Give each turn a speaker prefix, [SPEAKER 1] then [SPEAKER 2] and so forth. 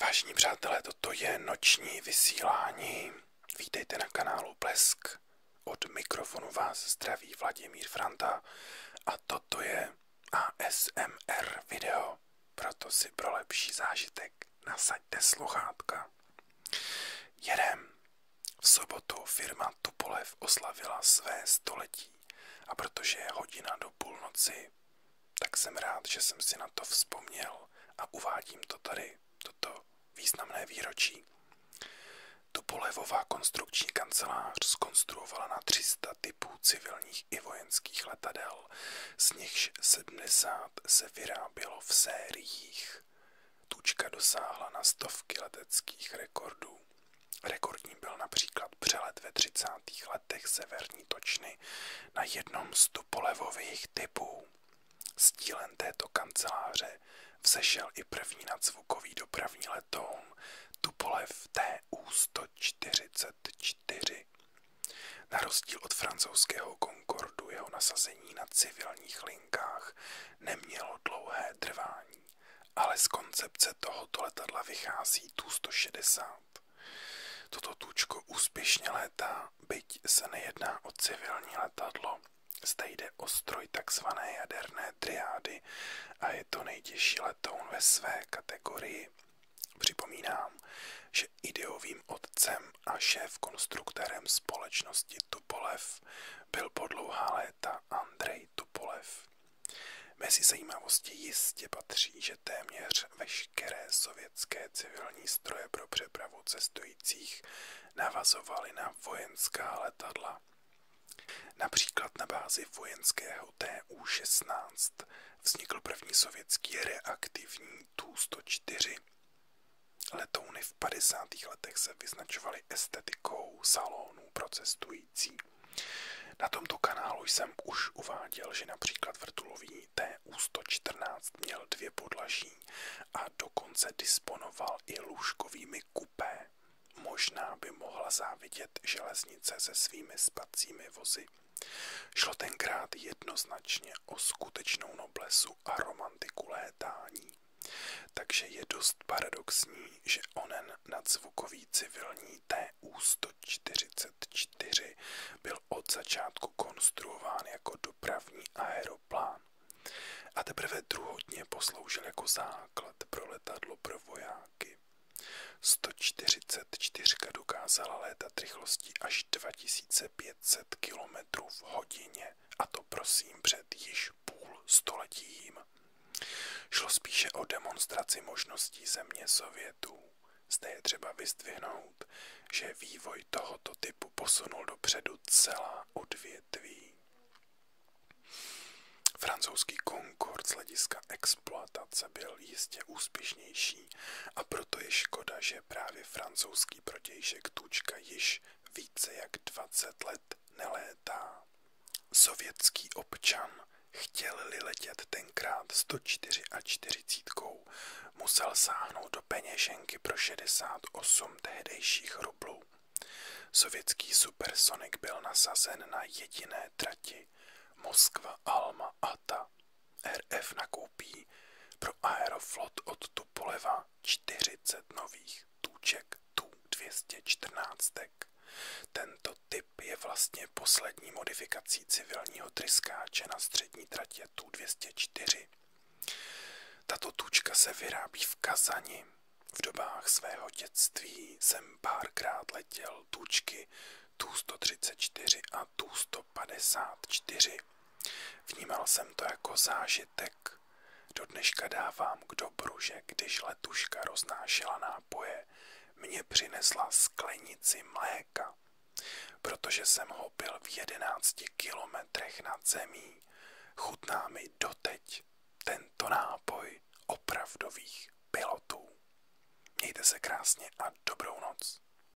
[SPEAKER 1] Vážení přátelé, toto je noční vysílání. Vítejte na kanálu Blesk. Od mikrofonu vás zdraví Vladimír Franta a toto je ASMR video. Proto si pro lepší zážitek nasaďte sluchátka. Jedem. V sobotu firma Tupolev oslavila své století a protože je hodina do půlnoci, tak jsem rád, že jsem si na to vzpomněl a uvádím to tady, toto významné výročí. Tupolevová konstrukční kancelář skonstruovala na 300 typů civilních i vojenských letadel, z nichž 70 se vyrábělo v sériích. Tučka dosáhla na stovky leteckých rekordů. Rekordní byl například přelet ve 30. letech severní točny na jednom z Tupolevových typů. Stílen této kanceláře vzešel i první nadzvukový dopravní letoun Tupolev TU-144. Na rozdíl od francouzského Concordu jeho nasazení na civilních linkách nemělo dlouhé trvání ale z koncepce tohoto letadla vychází Tu-160. Toto tučko úspěšně létá, byť se nejedná o civilní letadlo. Zde jde o stroj takzvané jaderné triády a je to nejtěžší letoun ve své kategorii. Připomínám, že ideovým otcem a šéf konstruktérem společnosti Tupolev byl po dlouhá léta Andrej Tupolev. Mezi zajímavosti jistě patří, že téměř veškeré sovětské civilní stroje pro přepravu cestujících navazovaly na vojenská letadla. Například na bázi vojenského TU-16 vznikl první sovětský reaktivní Tu-104. Letouny v 50. letech se vyznačovaly estetikou salónů pro cestující. Na tomto kanálu jsem už uváděl, že například vrtulový TU-114 měl dvě podlaží a dokonce disponoval i lůžkovými kupé. Možná by mohla závidět železnice se svými spacími vozy. Šlo tenkrát jednoznačně o skutečnou noblesu a romantiku létání. Takže je dost paradoxní, že onen nadzvukový civilní TU-144 byl od začátku konstruován jako dopravní aeroplán a teprve druhotně posloužil jako základ pro letadlo pro vojáky. 144 dokázala létat rychlostí až 2500 km v hodině, a to prosím před již než půl stoletím. Šlo spíše o demonstraci možností země Sovětů. Zde je třeba vyzdvihnout, že vývoj tohoto typu posunul dopředu celá odvětví. Francouzský konkord z hlediska exploatace byl jistě úspěšnější a proto je škoda, že právě francouzský protějšek Tučka již více jak 20 let nelétá. Sovětský občan, chtěl-li letět tenkrát 104 a 40, musel sáhnout do peněženky pro 68 tehdejších rublů. Sovětský supersonik byl nasazen na jediné trati Moskva Alma Ata. RF nakoupí pro Aeroflot od Tupoleva 40 nových tůček tu 214. Tento typ je vlastně poslední modifikací civilního tryskáče na střední tratě tu 204. Tato tůčka se vyrábí v Kazani. V dobách svého dětství jsem párkrát letěl tučky Tu-134 a Pirátů 154. Vnímal jsem to jako zážitek. Do dneška dávám k dobru, že když letuška roznášela nápoje, mě přinesla sklenici mléka, protože jsem ho byl v jedenácti kilometrech nad zemí. Chutná mi doteď tento nápoj opravdových pilotů. Mějte se krásně a dobrou noc.